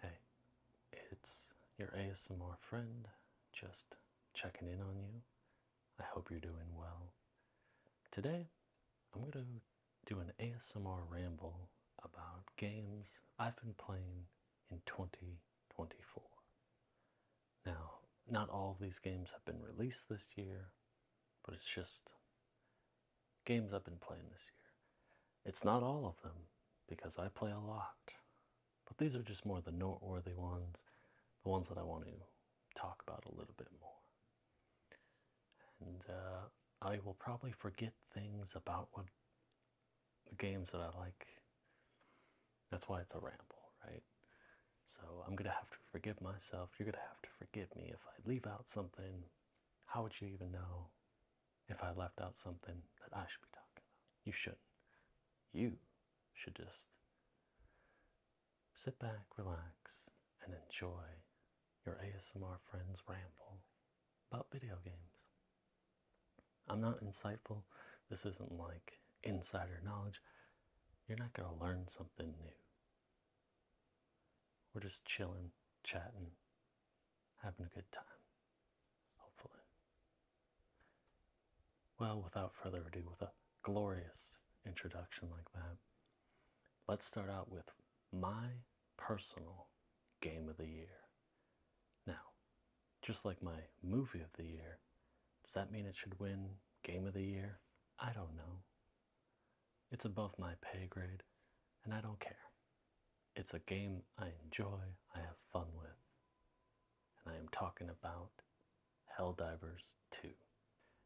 Hey, it's your ASMR friend just checking in on you. I hope you're doing well. Today, I'm going to do an ASMR ramble about games I've been playing in 2024. Now, not all of these games have been released this year, but it's just games I've been playing this year. It's not all of them because I play a lot, but these are just more the noteworthy ones, the ones that I want to talk about a little bit more. And uh, I will probably forget things about what the games that I like. That's why it's a ramble, right? So I'm gonna have to forgive myself. You're gonna have to forgive me if I leave out something. How would you even know? if I left out something that I should be talking about. You shouldn't. You should just sit back, relax, and enjoy your ASMR friends ramble about video games. I'm not insightful. This isn't like insider knowledge. You're not going to learn something new. We're just chilling, chatting, having a good time, hopefully. Well, without further ado, with a glorious introduction like that, let's start out with my personal game of the year. Now, just like my movie of the year, does that mean it should win game of the year? I don't know. It's above my pay grade, and I don't care. It's a game I enjoy, I have fun with, and I am talking about Hell Divers 2.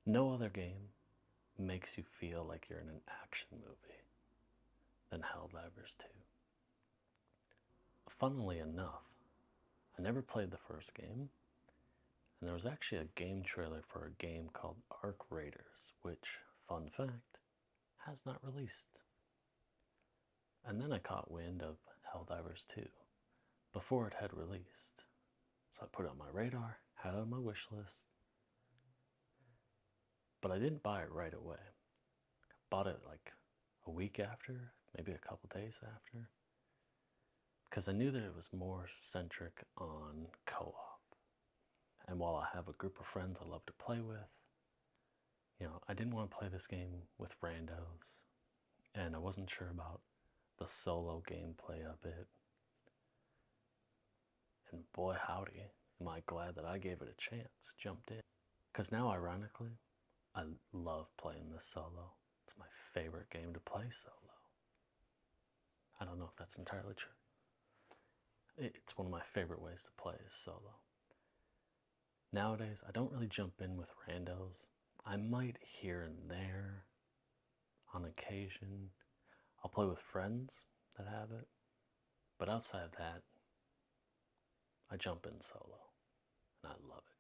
No other game makes you feel like you're in an action movie than Hell Divers 2. Funnily enough, I never played the first game, and there was actually a game trailer for a game called Arc Raiders, which, fun fact, has not released. And then I caught wind of Helldivers 2 before it had released. So I put it on my radar, had it on my wish list. But I didn't buy it right away. bought it like a week after, maybe a couple days after. Because I knew that it was more centric on co op. And while I have a group of friends I love to play with, you know, I didn't want to play this game with randos, and I wasn't sure about the solo gameplay of it. And boy, howdy, am I glad that I gave it a chance, jumped in. Because now, ironically, I love playing this solo. It's my favorite game to play solo. I don't know if that's entirely true. It's one of my favorite ways to play is solo. Nowadays, I don't really jump in with randos. I might here and there on occasion. I'll play with friends that have it. But outside of that, I jump in solo and I love it.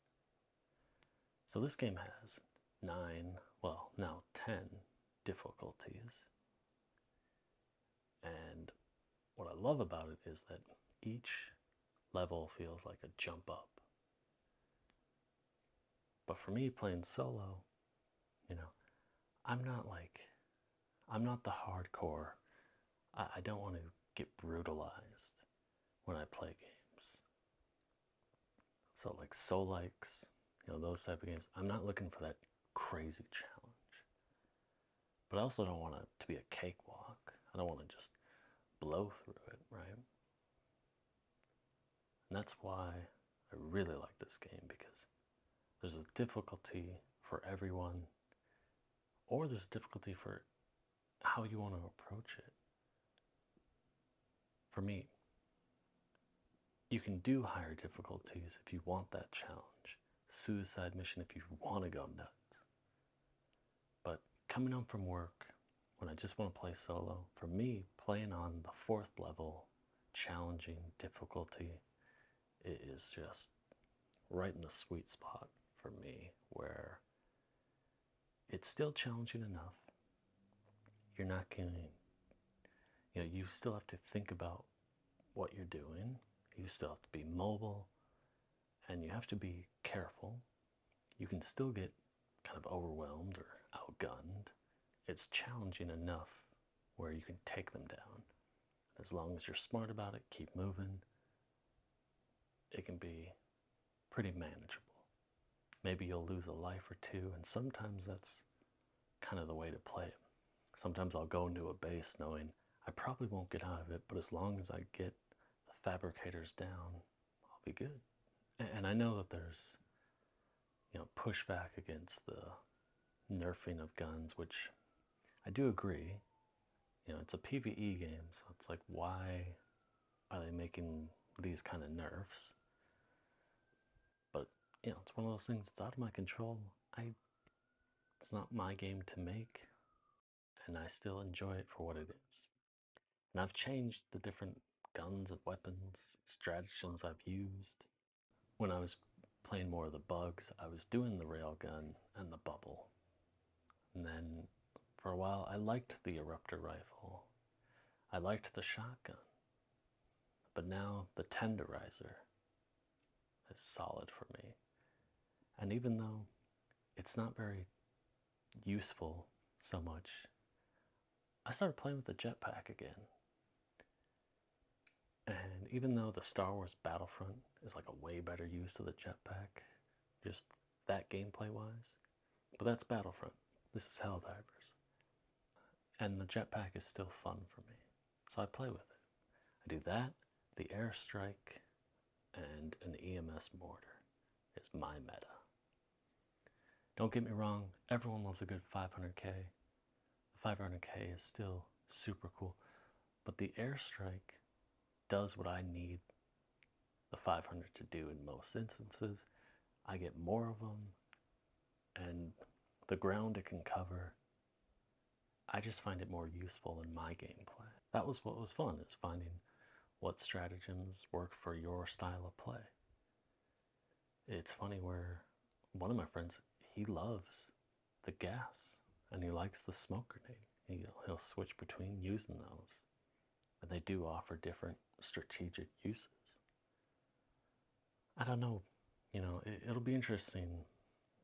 So this game has nine, well, now ten difficulties. And what I love about it is that each level feels like a jump up. But for me, playing solo, you know, I'm not like, I'm not the hardcore. I, don't want to get brutalized when I play games. So, like Soul likes, you know, those type of games, I'm not looking for that crazy challenge. But I also don't want it to be a cakewalk. I don't want to just blow through it, right? And that's why I really like this game because there's a difficulty for everyone, or there's a difficulty for how you want to approach it. For me, you can do higher difficulties if you want that challenge suicide mission if you want to go nuts. But coming home from work, when I just want to play solo, for me, playing on the fourth level, challenging difficulty, it is just right in the sweet spot for me where it's still challenging enough. You're not getting, you know, you still have to think about what you're doing. You still have to be mobile and you have to be careful. You can still get kind of overwhelmed or outgunned. It's challenging enough where you can take them down. As long as you're smart about it, keep moving, it can be pretty manageable. Maybe you'll lose a life or two, and sometimes that's kind of the way to play it. Sometimes I'll go into a base knowing I probably won't get out of it, but as long as I get the fabricators down, I'll be good. And I know that there's, you know, pushback against the nerfing of guns, which I do agree. You know, it's a PvE game, so it's like, why are they making these kind of nerfs? But, you know, it's one of those things that's out of my control. I it's not my game to make, and I still enjoy it for what it is. And I've changed the different guns and weapons, strategies I've used. When I was playing more of the bugs, I was doing the railgun and the bubble. And then for a while, I liked the eruptor rifle. I liked the shotgun. But now the tenderizer is solid for me. And even though it's not very useful so much, I started playing with the jetpack again. And even though the Star Wars Battlefront is like a way better use of the jetpack, just that gameplay wise, but that's Battlefront. This is Helldivers. And the jetpack is still fun for me. So I play with it. I do that, the airstrike, and an EMS mortar. It's my meta. Don't get me wrong, everyone loves a good 500k. The 500k is still super cool, but the airstrike does what I need the 500 to do in most instances. I get more of them, and the ground it can cover I just find it more useful in my gameplay. That was what was fun, is finding what stratagems work for your style of play. It's funny where one of my friends, he loves the gas and he likes the smoke grenade. He'll, switch between using those. And they do offer different strategic uses. I don't know, you know, it'll be interesting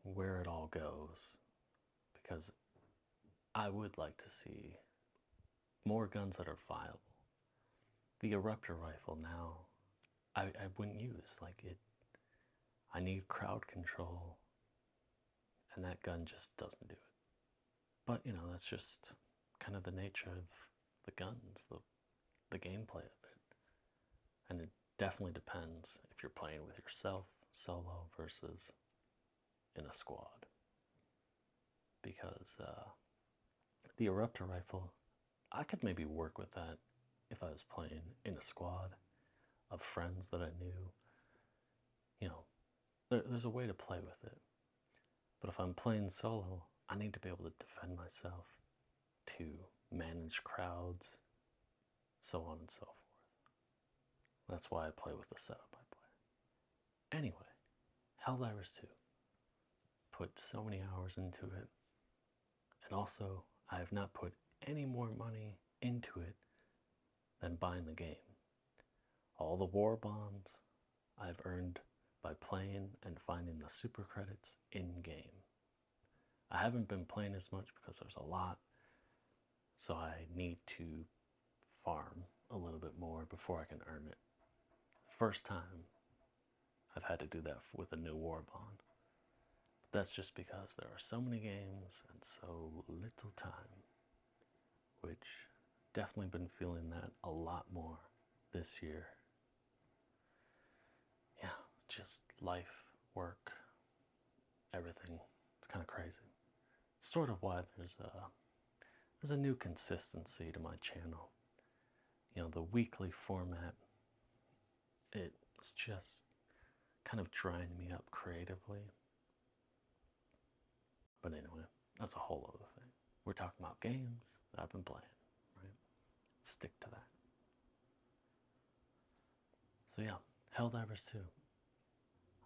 where it all goes because I would like to see more guns that are viable. The eruptor rifle now I, I wouldn't use like it I need crowd control and that gun just doesn't do it. But you know, that's just kind of the nature of the guns, the the gameplay of it. And it definitely depends if you're playing with yourself solo versus in a squad. Because uh, the Eruptor rifle, I could maybe work with that if I was playing in a squad of friends that I knew. You know, there's a way to play with it. But if I'm playing solo, I need to be able to defend myself, to manage crowds, so on and so forth. That's why I play with the setup I play. Anyway, Hell Helldivers 2. Put so many hours into it. And also, I have not put any more money into it than buying the game. All the war bonds I've earned by playing and finding the super credits in game. I haven't been playing as much because there's a lot, so I need to farm a little bit more before I can earn it. First time I've had to do that with a new war bond. that's just because there are so many games and so little time, which definitely been feeling that a lot more this year. Yeah, just life, work, everything. It's kind of crazy. It's sort of why there's a there's a new consistency to my channel. You know, the weekly format it's just kind of drying me up creatively. But anyway, that's a whole other thing. We're talking about games that I've been playing, right? Stick to that. So yeah, Helldivers 2.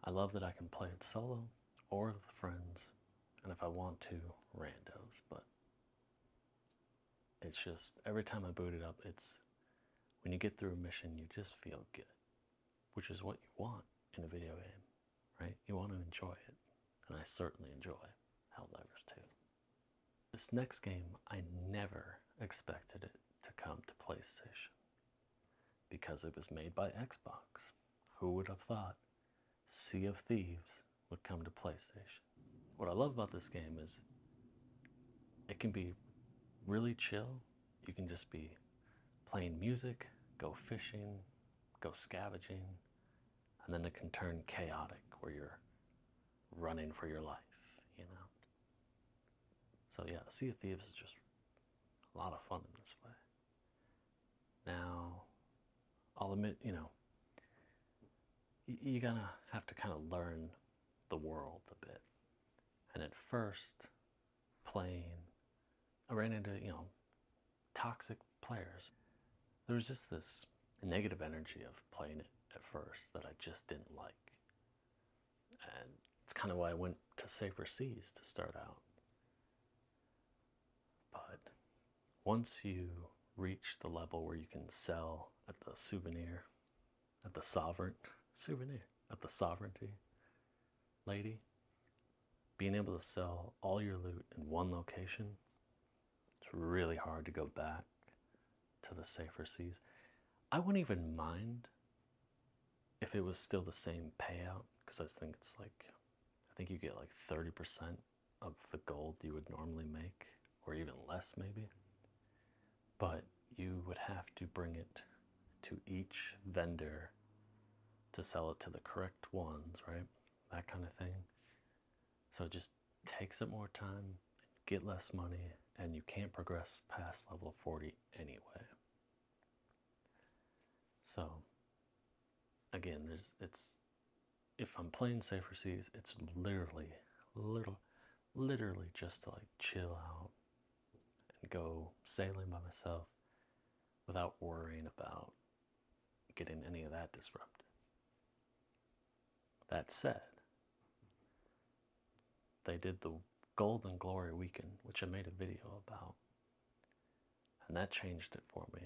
I love that I can play it solo or with friends, and if I want to, randos, but it's just every time I boot it up, it's when you get through a mission, you just feel good, which is what you want in a video game, right? You want to enjoy it, and I certainly enjoy Helldivers 2. This next game, I never expected it to come to PlayStation because it was made by Xbox. Who would have thought Sea of Thieves would come to PlayStation? What I love about this game is it can be really chill. You can just be playing music, go fishing, go scavenging, and then it can turn chaotic where you're running for your life, you know? So yeah, Sea of Thieves is just a lot of fun in this way. Now, I'll admit, you know, you're gonna have to kind of learn the world a bit. And at first, playing, I ran into, you know, toxic players. There was just this negative energy of playing it at first that I just didn't like and it's kind of why I went to safer seas to start out. But once you reach the level where you can sell at the souvenir, at the sovereign souvenir, at the sovereignty lady, being able to sell all your loot in one location, it's really hard to go back to the safer seas. I wouldn't even mind if it was still the same payout because I think it's like I think you get like 30% of the gold you would normally make, or even less maybe. But you would have to bring it to each vendor to sell it to the correct ones, right? That kind of thing. So it just takes up more time, get less money, and you can't progress past level 40 anyway. So, again, there's it's if I'm playing safer seas, it's literally, little, literally just to like chill out and go sailing by myself without worrying about getting any of that disrupted. That said, they did the Golden Glory Weekend, which I made a video about, and that changed it for me.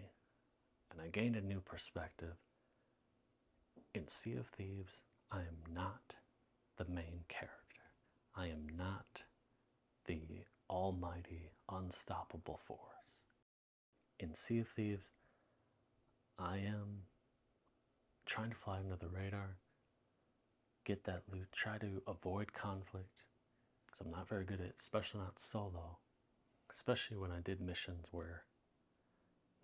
And I gained a new perspective. In Sea of Thieves, I am not the main character, I am not the almighty, unstoppable force. In Sea of Thieves, I am trying to fly under the radar, get that loot, try to avoid conflict because I'm not very good at it, especially not solo. Especially when I did missions where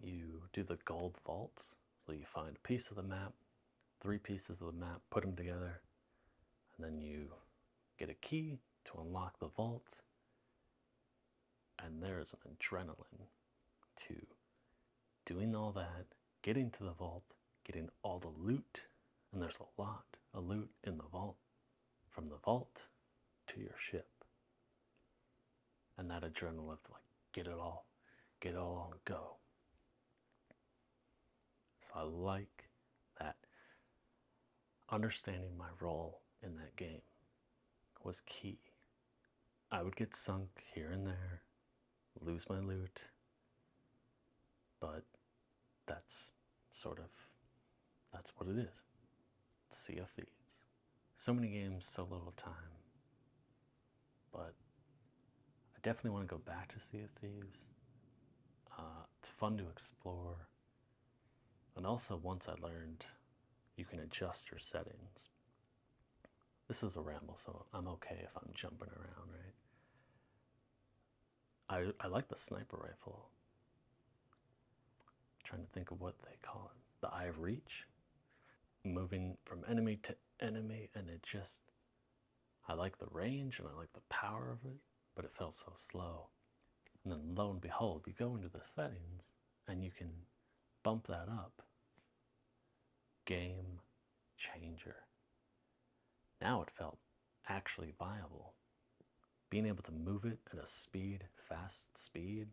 you do the gold vaults, so you find a piece of the map, three pieces of the map, put them together, and then you get a key to unlock the vault. And there is an adrenaline to doing all that, getting to the vault, getting all the loot, and there's a lot of loot in the vault. From the vault to your ship. And that adrenaline of like, get it all, get it all on go. So I like that. Understanding my role in that game was key I would get sunk here and there, lose my loot, but that's sort of that's what it is. It's sea of Thieves. So many games, so little time. But I definitely want to go back to Sea of Thieves. Uh, it's fun to explore. And also, once I learned, you can adjust your settings. This is a ramble, so I'm okay if I'm jumping around, right? I I like the sniper rifle. trying to think of what they call it. The eye of reach. Moving from enemy to enemy and it just I like the range and I like the power of it, but it felt so slow. And then lo and behold, you go into the settings and you can bump that up game changer. Now it felt actually viable. Being able to move it at a speed, fast speed,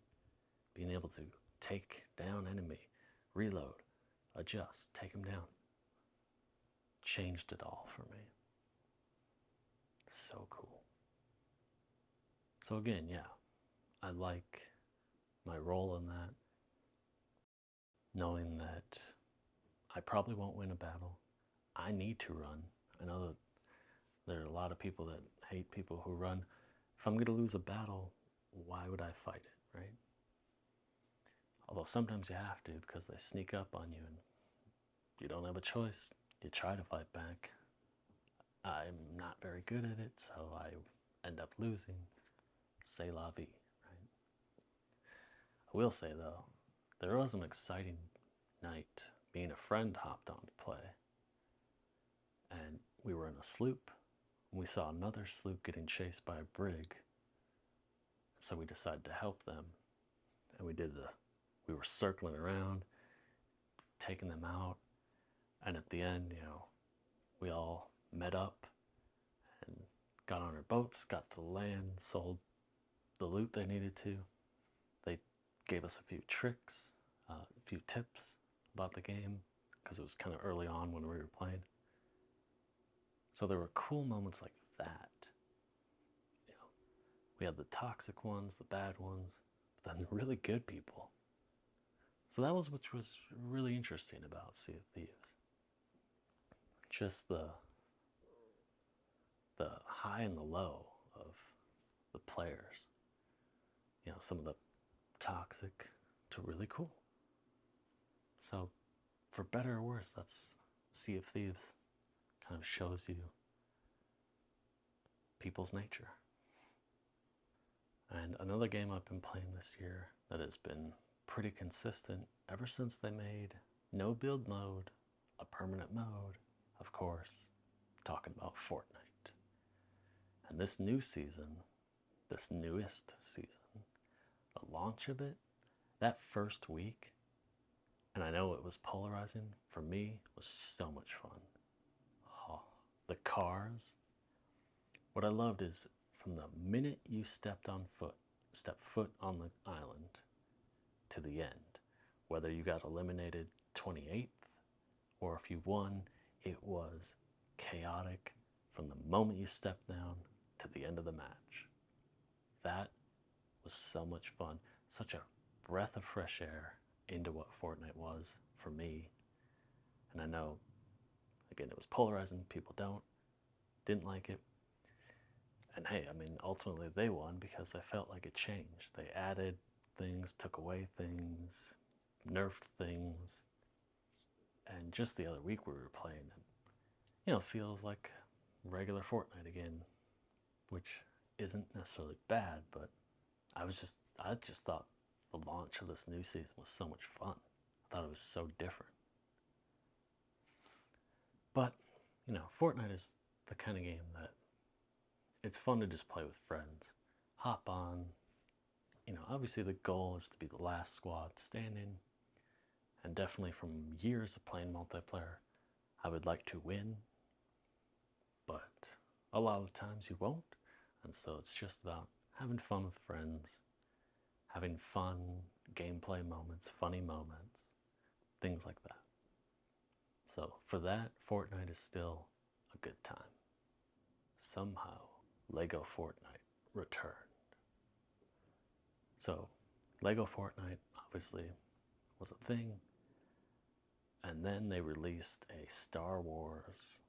being able to take down enemy, reload, adjust, take them down, changed it all for me. So cool. So again, yeah, I like my role in that knowing that I probably won't win a battle. I need to run. I know that there are a lot of people that hate people who run. If I'm going to lose a battle, why would I fight it, right? Although sometimes you have to because they sneak up on you and you don't have a choice. You try to fight back. I'm not very good at it, so I end up losing, say la vie, I will say though, there was an exciting night. Me and a friend hopped on to play, and we were in a sloop. We saw another sloop getting chased by a brig, so we decided to help them, and we did the. We were circling around, taking them out, and at the end, you know, we all met up and got on our boats, got to land, sold the loot they needed to. They gave us a few tricks, a few tips about the game because it was kind of early on when we were playing. So there were cool moments like that. You know, we had the toxic ones, the bad ones, then the really good people so that was what was really interesting about Sea of Thieves. Just the the high and the low of the players. You know, some of the toxic to really cool. So for better or worse, that's Sea of Thieves kind of shows you people's nature. And another game I've been playing this year that has been pretty consistent ever since they made no build mode a permanent mode, of course, talking about Fortnite. And this new season, this newest season, the launch of it, that first week, and I know it was polarizing for me, was so much fun. the cars. What I loved is from the minute you stepped on foot stepped foot on the island to the end whether you got eliminated 28th or if you won it was chaotic from the moment you stepped down to the end of the match that was so much fun such a breath of fresh air into what fortnite was for me and I know, again, it was polarizing. People don't, didn't like it. And hey, I mean, ultimately they won because they felt like it changed. They added things, took away things, nerfed things. And just the other week we were playing, and you know, feels like regular Fortnite again, which isn't necessarily bad, but I was just I just thought the launch of this new season was so much fun. I thought it was so different. But, you know, Fortnite is the kind of game that it's fun to just play with friends. Hop on. You know, obviously the goal is to be the last squad standing. And definitely from years of playing multiplayer, I would like to win. But a lot of times you won't. And so it's just about having fun with friends having fun, gameplay moments, funny moments, things like that. So, for that, Fortnite is still a good time. Somehow, LEGO Fortnite returned. So, LEGO Fortnite obviously was a thing, and then they released a Star Wars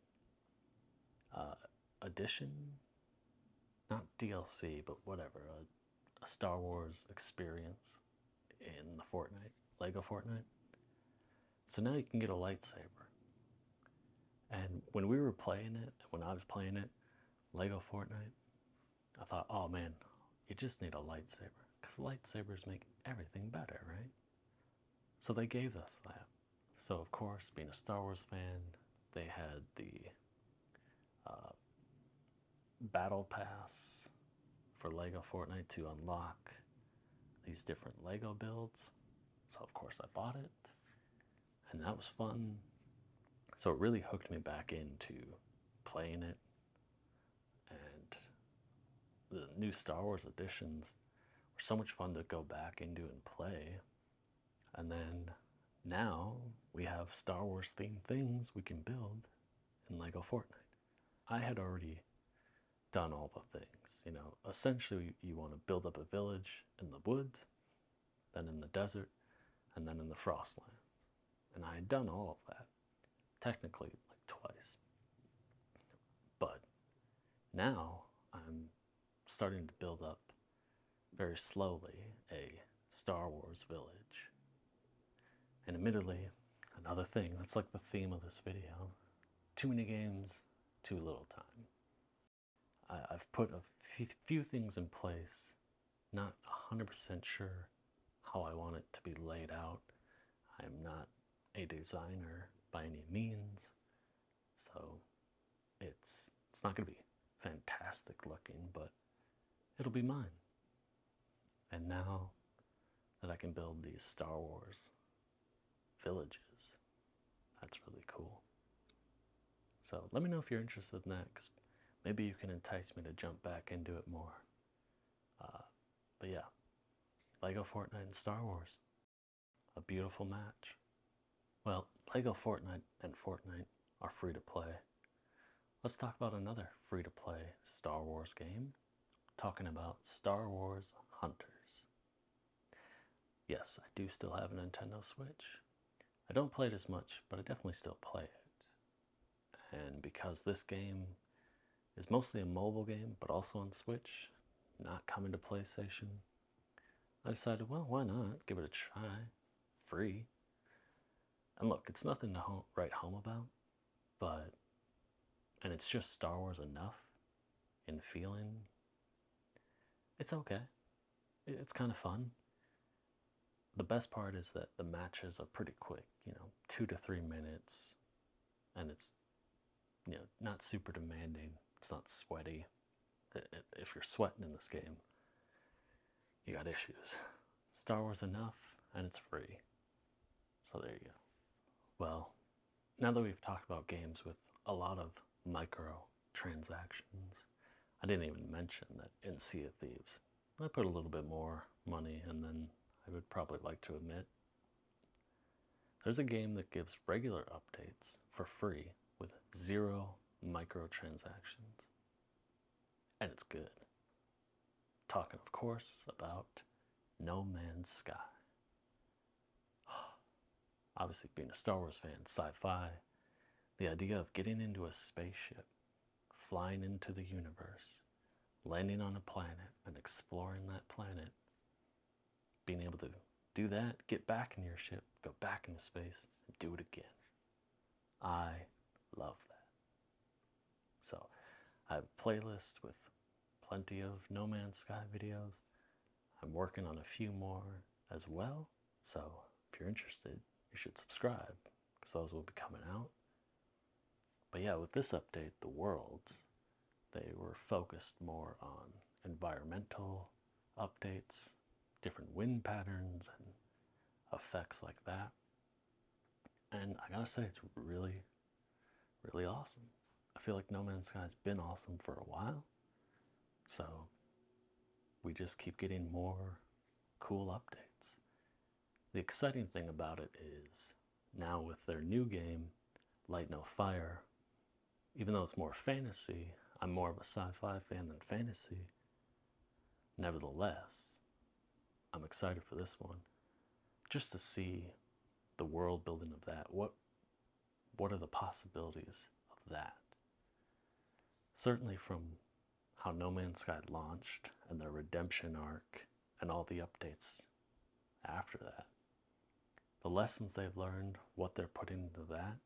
uh, edition, not DLC, but whatever, a, a Star Wars experience in the Fortnite, Lego Fortnite. So now you can get a lightsaber. And when we were playing it, when I was playing it, Lego Fortnite, I thought, oh man, you just need a lightsaber because lightsabers make everything better, right? So they gave us that. So, of course, being a Star Wars fan, they had the uh, battle pass for Lego Fortnite to unlock these different Lego builds. So, of course, I bought it, and that was fun. Mm. So, it really hooked me back into playing it and the new Star Wars editions were so much fun to go back into and play and then now we have Star Wars themed things we can build in Lego Fortnite. I had already done all the things, you know. Essentially, you want to build up a village in the woods, then in the desert, and then in the frostlands. And I had done all of that, technically, like twice. But now I'm starting to build up very slowly a Star Wars village. And admittedly, another thing that's like the theme of this video too many games, too little time. I, have put a few things in place, not 100% sure how I want it to be laid out. I'm not a designer by any means. So it's it's not gonna be fantastic looking, but it'll be mine. And now that I can build these Star Wars villages, that's really cool. So let me know if you're interested next. Maybe you can entice me to jump back and do it more. Uh, but yeah, Lego Fortnite and Star Wars. A beautiful match. Well, LEGO Fortnite and Fortnite are free to play. Let's talk about another free to play Star Wars game. talking about Star Wars Hunters. Yes, I do still have a Nintendo Switch. I don't play it as much, but I definitely still play it. And because this game is mostly a mobile game, but also on Switch, not coming to PlayStation, I decided, well, why not? Give it a try. Free. And look, it's nothing to write home about, but. And it's just Star Wars enough in feeling. It's okay. It's kind of fun. The best part is that the matches are pretty quick, you know, two to three minutes. And it's, you know, not super demanding, it's not sweaty if you're sweating in this game, you got issues. Star Wars enough, and it's free. So there you go. Well, now that we've talked about games with a lot of micro transactions, I didn't even mention that in Sea of Thieves, I put a little bit more money, and then I would probably like to admit there's a game that gives regular updates for free with zero microtransactions. And it's good. Talking, of course, about No Man's Sky. Obviously, being a Star Wars fan, sci fi, the idea of getting into a spaceship, flying into the universe, landing on a planet, and exploring that planet being able to do that, get back in your ship, go back into space, and do it again. I love that. So I have a playlist with plenty of No Man's Sky videos. I'm working on a few more as well. So if you're interested, you should subscribe because those will be coming out. But yeah, with this update, the worlds, they were focused more on environmental updates, different wind patterns, and effects like that. And I gotta say, it's really, really awesome. I feel like No Man's Sky has been awesome for a while. So we just keep getting more cool updates. The exciting thing about it is now with their new game, Light No Fire, even though it's more fantasy, I'm more of a sci fi fan than fantasy. Nevertheless, I'm excited for this one just to see the world building of that. What, what are the possibilities of that? Certainly, from how No Man's Sky launched and the redemption arc and all the updates after that, the lessons they've learned, what they're putting into that.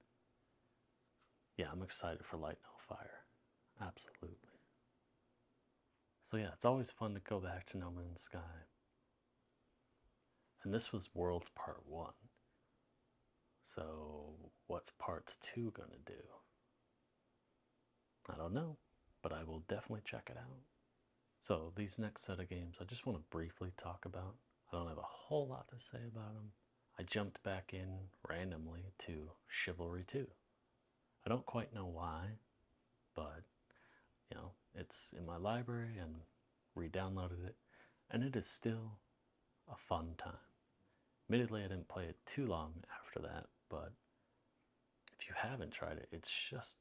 Yeah, I'm excited for Light No Fire. Absolutely. So, yeah, it's always fun to go back to No Man's Sky. And this was World Part 1. So, what's Parts 2 going to do? I don't know, but I will definitely check it out. So, these next set of games I just want to briefly talk about I don't have a whole lot to say about them. I jumped back in randomly to Chivalry 2. I don't quite know why, but you know, it's in my library and re-downloaded it, and it is still a fun time. Admittedly, I didn't play it too long after that, but if you haven't tried it, it's just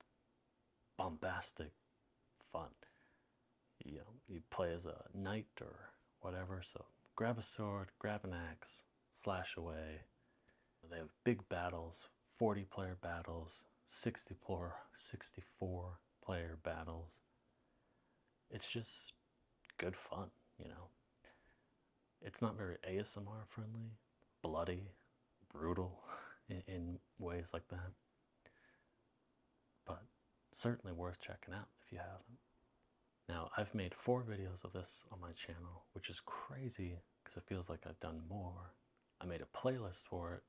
bombastic fun you you play as a knight or whatever. So grab a sword, grab an axe, slash away. They have big battles, 40 player battles, 64, 64 player battles. It's just good fun, you know. It's not very ASMR friendly, bloody, brutal in ways like that but certainly worth checking out if you haven't. Now, I've made four videos of this on my channel, which is crazy because it feels like I've done more. I made a playlist for it.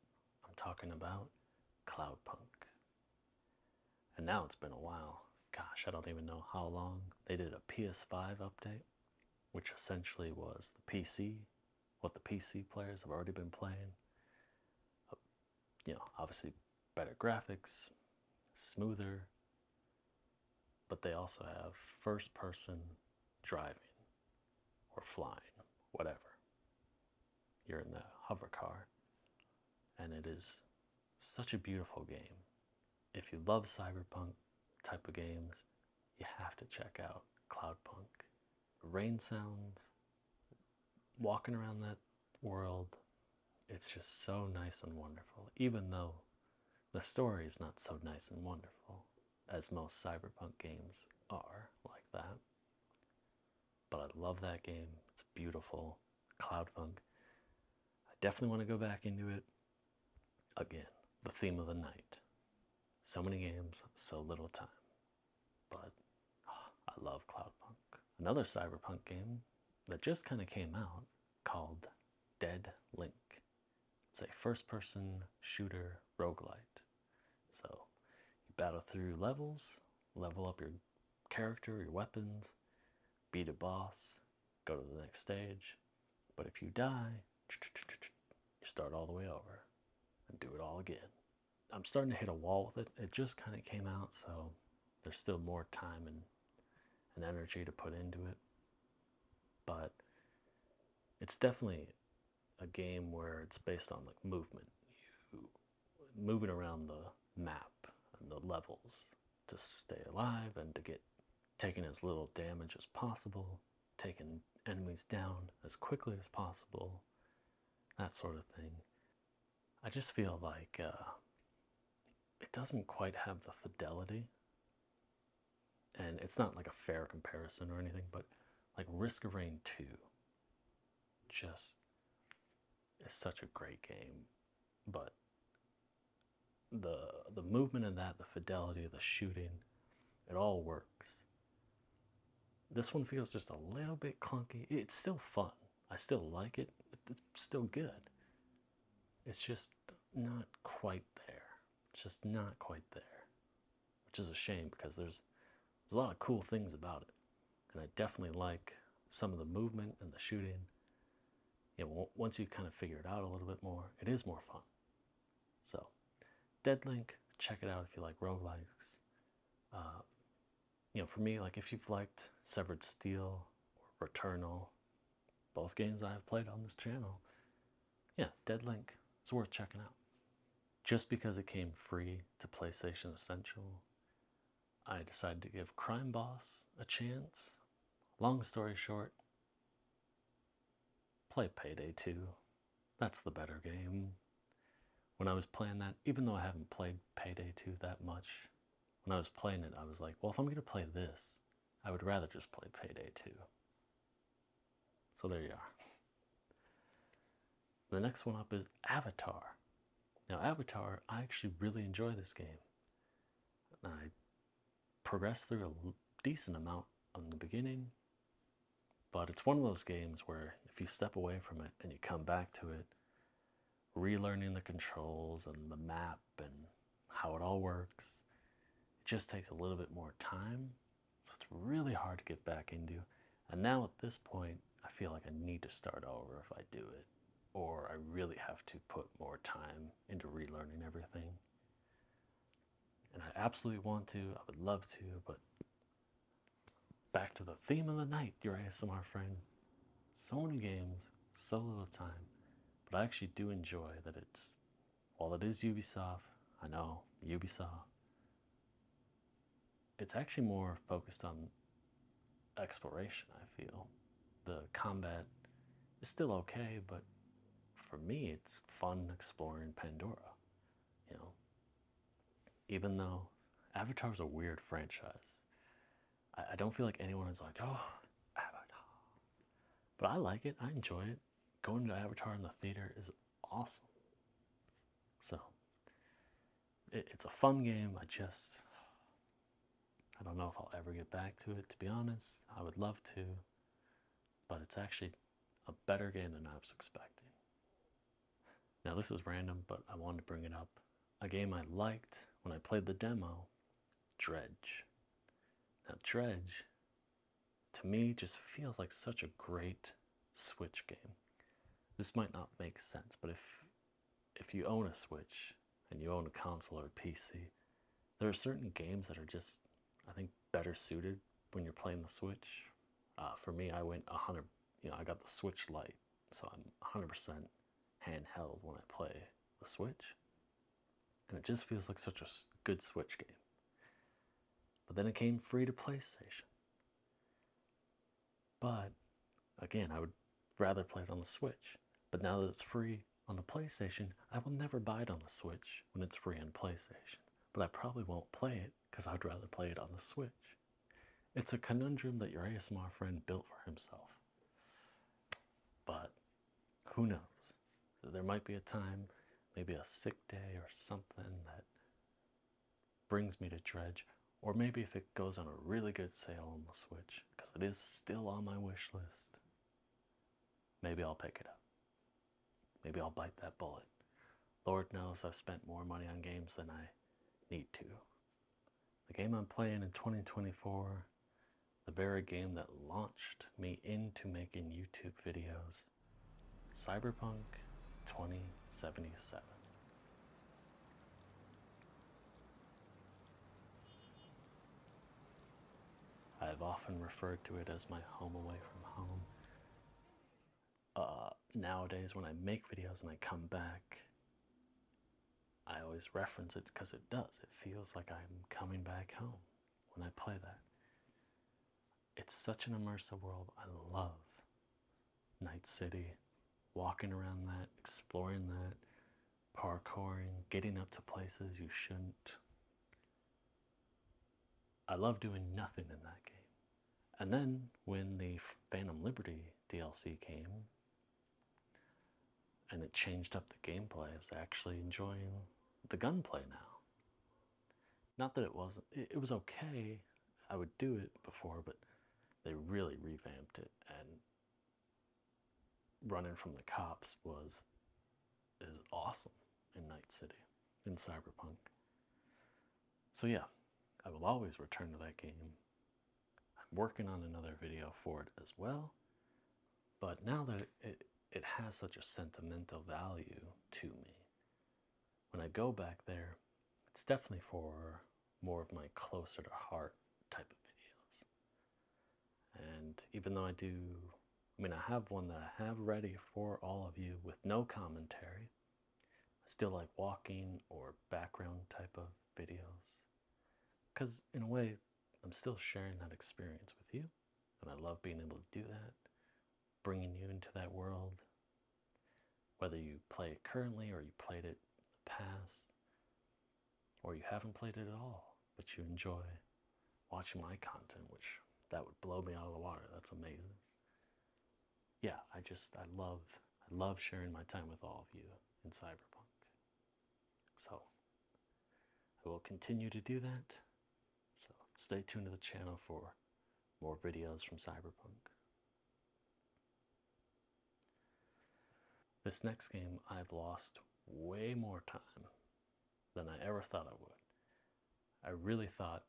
I'm talking about Cloudpunk. And now it's been a while. Gosh, I don't even know how long. They did a PS5 update, which essentially was the PC, what the PC players have already been playing you know, obviously better graphics, smoother, but they also have first person driving or flying, whatever. You're in the hover car, and it is such a beautiful game. If you love cyberpunk type of games, you have to check out Cloudpunk rain sounds. walking around that world. It's just so nice and wonderful, even though the story is not so nice and wonderful as most cyberpunk games are like that. But I love that game, it's beautiful. cloudpunk. I definitely want to go back into it again. The theme of the night. So many games, so little time. But I love Cloudpunk. Another cyberpunk game that just kind of came out called Dead Link. It's a first person shooter roguelite. So you battle through levels, level up your character, your weapons, beat a boss, go to the next stage. But if you die, you start all the way over and do it all again. I'm starting to hit a wall with it. It just kind of came out, so there's still more time and and energy to put into it. But it's definitely a game where it's based on like movement, moving around the map and the levels to stay alive and to get taking as little damage as possible, taking enemies down as quickly as possible, that sort of thing. I just feel like uh, it doesn't quite have the fidelity. And it's not like a fair comparison or anything, but like Risk of Rain 2 just is such a great game. But the the movement in that, the fidelity, the shooting, it all works. This one feels just a little bit clunky. It's still fun. I still like it. It's still good. It's just not quite there. It's just not quite there. Which is a shame because there's there's a lot of cool things about it. And I definitely like some of the movement and the shooting. Yeah, once you kind of figure it out a little bit more, it is more fun. So, Dead Link, check it out if you like roguelikes. Uh, you know, for me, like if you've liked Severed Steel or Eternal, both games I have played on this channel, yeah, Dead Link, it's worth checking out. Just because it came free to PlayStation Essential, I decided to give Crime Boss a chance. Long story short, play Payday 2. That's the better game when I was playing that, even though I haven't played Payday 2 that much, when I was playing it, I was like, well, if I'm going to play this, I would rather just play Payday 2. So there you are. The next one up is Avatar. Now, Avatar, I actually really enjoy this game. I progressed through a decent amount in the beginning, but it's one of those games where if you step away from it and you come back to it, relearning the controls and the map and how it all works, it just takes a little bit more time. So it's really hard to get back into. And now at this point, I feel like I need to start over if I do it. Or I really have to put more time into relearning everything. And I absolutely want to, I would love to, but Back to the theme of the night, your ASMR friend. So many games, so little time, but I actually do enjoy that it's, while it is Ubisoft, I know Ubisoft, it's actually more focused on exploration, I feel. The combat is still okay, but for me, it's fun exploring Pandora. You know, even though Avatar is a weird franchise. I, don't feel like anyone is like, oh, Avatar. But I like it, I enjoy it. Going to Avatar in the theater is awesome. So it's a fun game. I just I don't know if I'll ever get back to it, to be honest. I would love to, but it's actually a better game than I was expecting. Now, this is random, but I wanted to bring it up. A game I liked when I played the demo Dredge. Now, Dredge to me just feels like such a great Switch game. This might not make sense, but if if you own a Switch and you own a console or a PC, there are certain games that are just, I think, better suited when you're playing the Switch. Uh, for me, I went 100, you know, I got the Switch Lite so I'm 100% handheld when I play the Switch. And it just feels like such a good Switch game. But then it came free to PlayStation. But again, I would rather play it on the Switch. But now that it's free on the PlayStation, I will never buy it on the Switch when it's free on PlayStation. But I probably won't play it because I'd rather play it on the Switch. It's a conundrum that your ASMR friend built for himself. But who knows? There might be a time, maybe a sick day or something that brings me to Dredge, or maybe if it goes on a really good sale on the Switch, because it is still on my wish list, maybe I'll pick it up. Maybe I'll bite that bullet. Lord knows I've spent more money on games than I need to. The game I'm playing in 2024, the very game that launched me into making YouTube videos, Cyberpunk 2077. I have often referred to it as my home away from home uh, nowadays when I make videos and I come back, I always reference it because it does. It feels like I'm coming back home when I play that. It's such an immersive world. I love Night City, walking around that, exploring that, parkouring, getting up to places you shouldn't. I love doing nothing in that game. And then when the Phantom Liberty DLC came and it changed up the gameplay, I was actually enjoying the gunplay now. Not that it wasn't, it, was okay. I would do it before, but they really revamped it and running from the cops was is awesome in Night City in Cyberpunk. So yeah, I will always return to that game. I'm working on another video for it as well. But now that it, it has such a sentimental value to me, when I go back there, it's definitely for more of my closer to heart type of videos. And even though I do, I mean, I have one that I have ready for all of you with no commentary, still like walking or background type of videos because in a way i'm still sharing that experience with you and i love being able to do that bringing you into that world whether you play it currently or you played it in the past or you haven't played it at all but you enjoy watching my content which that would blow me out of the water that's amazing yeah, I just I love I love sharing my time with all of you in cyberpunk. So I will continue to do that. So stay tuned to the channel for more videos from cyberpunk. This next game I've lost way more time than I ever thought I would. I really thought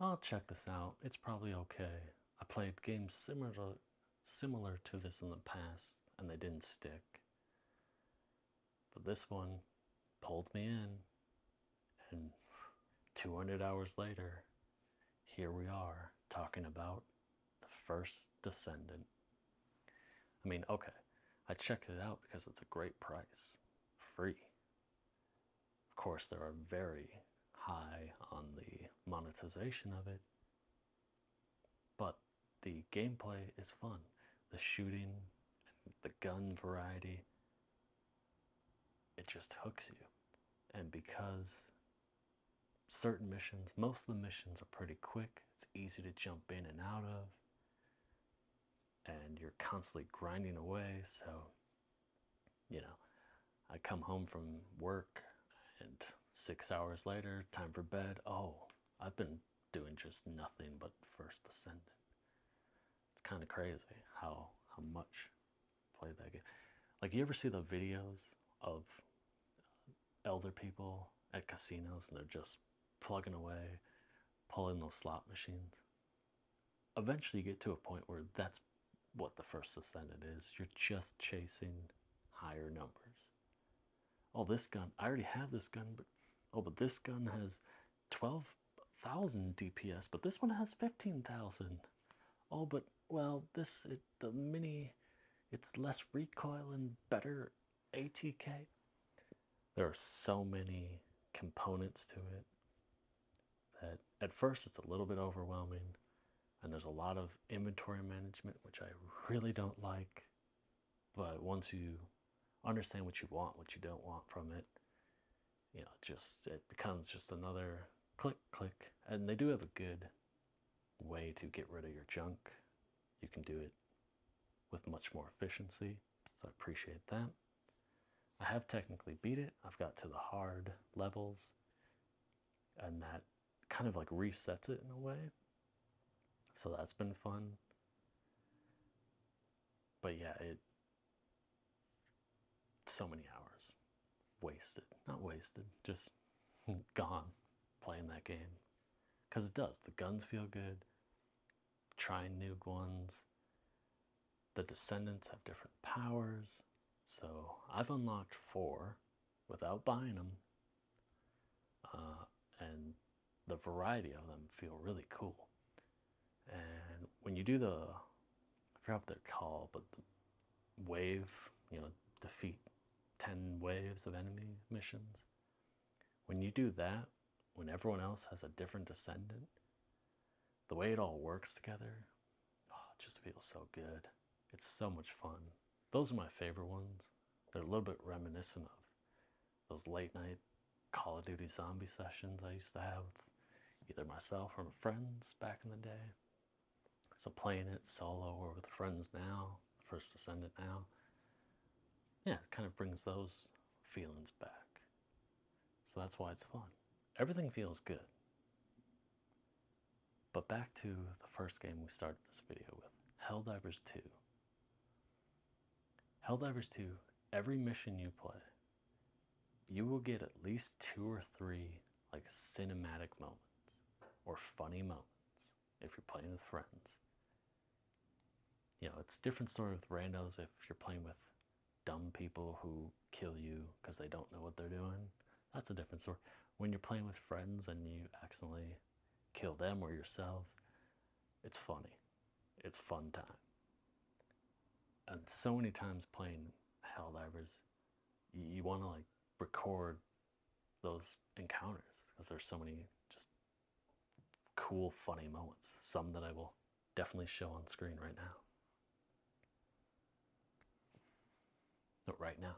I'll check this out, it's probably okay. I played games similar to, similar to this in the past and they didn't stick. But this one pulled me in, and 200 hours later, here we are talking about the first descendant. I mean, okay, I checked it out because it's a great price, free, of course, they are very high on the monetization of it, but the gameplay is fun. The shooting, the gun variety, it just hooks you. And because certain missions, most of the missions are pretty quick, it's easy to jump in and out of, and you're constantly grinding away, so you know, I come home from work and six hours later, time for bed. Oh, I've been doing just nothing but first ascendant. It's kind of crazy how how much I play that game. Like you ever see the videos of elder people at casinos and they're just plugging away, pulling those slot machines eventually you get to a point where that's what the first ascendant is. You're just chasing higher numbers. Oh, this gun, I already have this gun, but oh, but this gun has 12,000 DPS, but this one has 15,000. Oh, but well, this the mini, it's less recoil and better ATK. There are so many components to it that at first it's a little bit overwhelming and there's a lot of inventory management which I really don't like but once you understand what you want what you don't want from it you know just it becomes just another click click and they do have a good way to get rid of your junk you can do it with much more efficiency so I appreciate that I have technically beat it I've got to the hard levels and that kind of like resets it in a way. So that's been fun. But yeah, it so many hours wasted. Not wasted, just gone playing that game. Cause it does. The guns feel good. Trying new guns the descendants have different powers. So I've unlocked four without buying them. Uh, and the variety of them feel really cool. And when you do the, I forgot what they're called, but wave, you know, defeat 10 waves of enemy missions. When you do that, when everyone else has a different descendant, the way it all works together oh, just feels so good. It's so much fun. Those are my favorite ones. They're a little bit reminiscent of those late night Call of Duty zombie sessions I used to have either myself or my friends back in the day. So playing it solo or with friends now, first ascendant now. Yeah, it kind of brings those feelings back. So that's why it's fun. Everything feels good. But back to the first game we started this video with *Hell Divers 2. *Hell Divers 2, every mission you play, you will get at least two or three like cinematic moments or funny moments if you're playing with friends. You know, it's different story with randos if you're playing with dumb people who kill you because they don't know what they're doing. That's a different story. When you're playing with friends and you accidentally kill them or yourself, it's funny. It's fun time. And so many times playing Hell you, you want to like record those encounters because there's so many just cool, funny moments. Some that I will definitely show on screen right now. Not right now.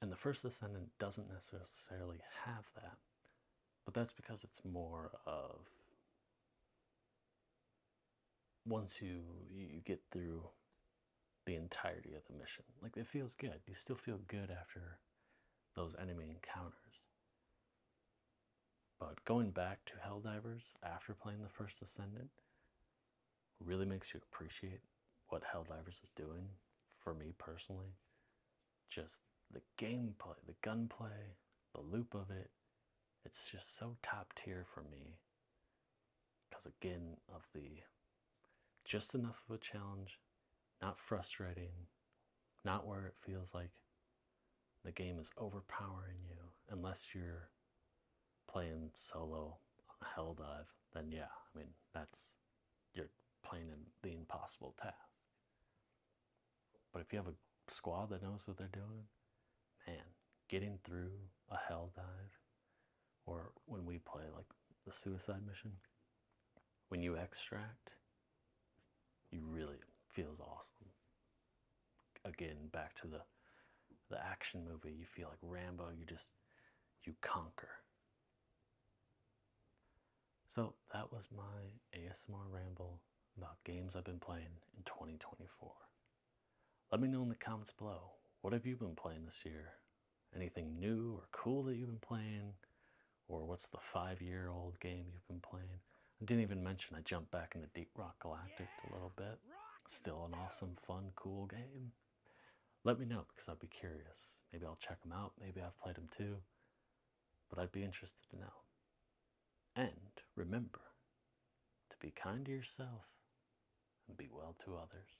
And the First Ascendant doesn't necessarily have that, but that's because it's more of once you you get through the entirety of the mission, like it feels good. You still feel good after those enemy encounters. But going back to Helldivers after playing the first Ascendant really makes you appreciate what Helldivers is doing for me personally. Just the gameplay, the gunplay, the loop of it. It's just so top tier for me because, again, of the just enough of a challenge, not frustrating, not where it feels like the game is overpowering you, unless you're playing solo on a hell dive. Then, yeah, I mean, that's you're playing in the impossible task. But if you have a squad that knows what they're doing, man, getting through a hell dive or when we play like the suicide mission, when you extract, it really feels awesome. Again, back to the the action movie, you feel like Rambo, you just you conquer. So that was my ASMR ramble about games I've been playing in 2024. Let me know in the comments below what have you been playing this year Anything new or cool that you've been playing? Or what's the five year old game you've been playing? I didn't even mention I jumped back into Deep Rock Galactic a little bit. Still an awesome, fun, cool game. Let me know because I'd be curious. Maybe I'll check them out. Maybe I've played them too. But I'd be interested to know. And remember to be kind to yourself and be well to others.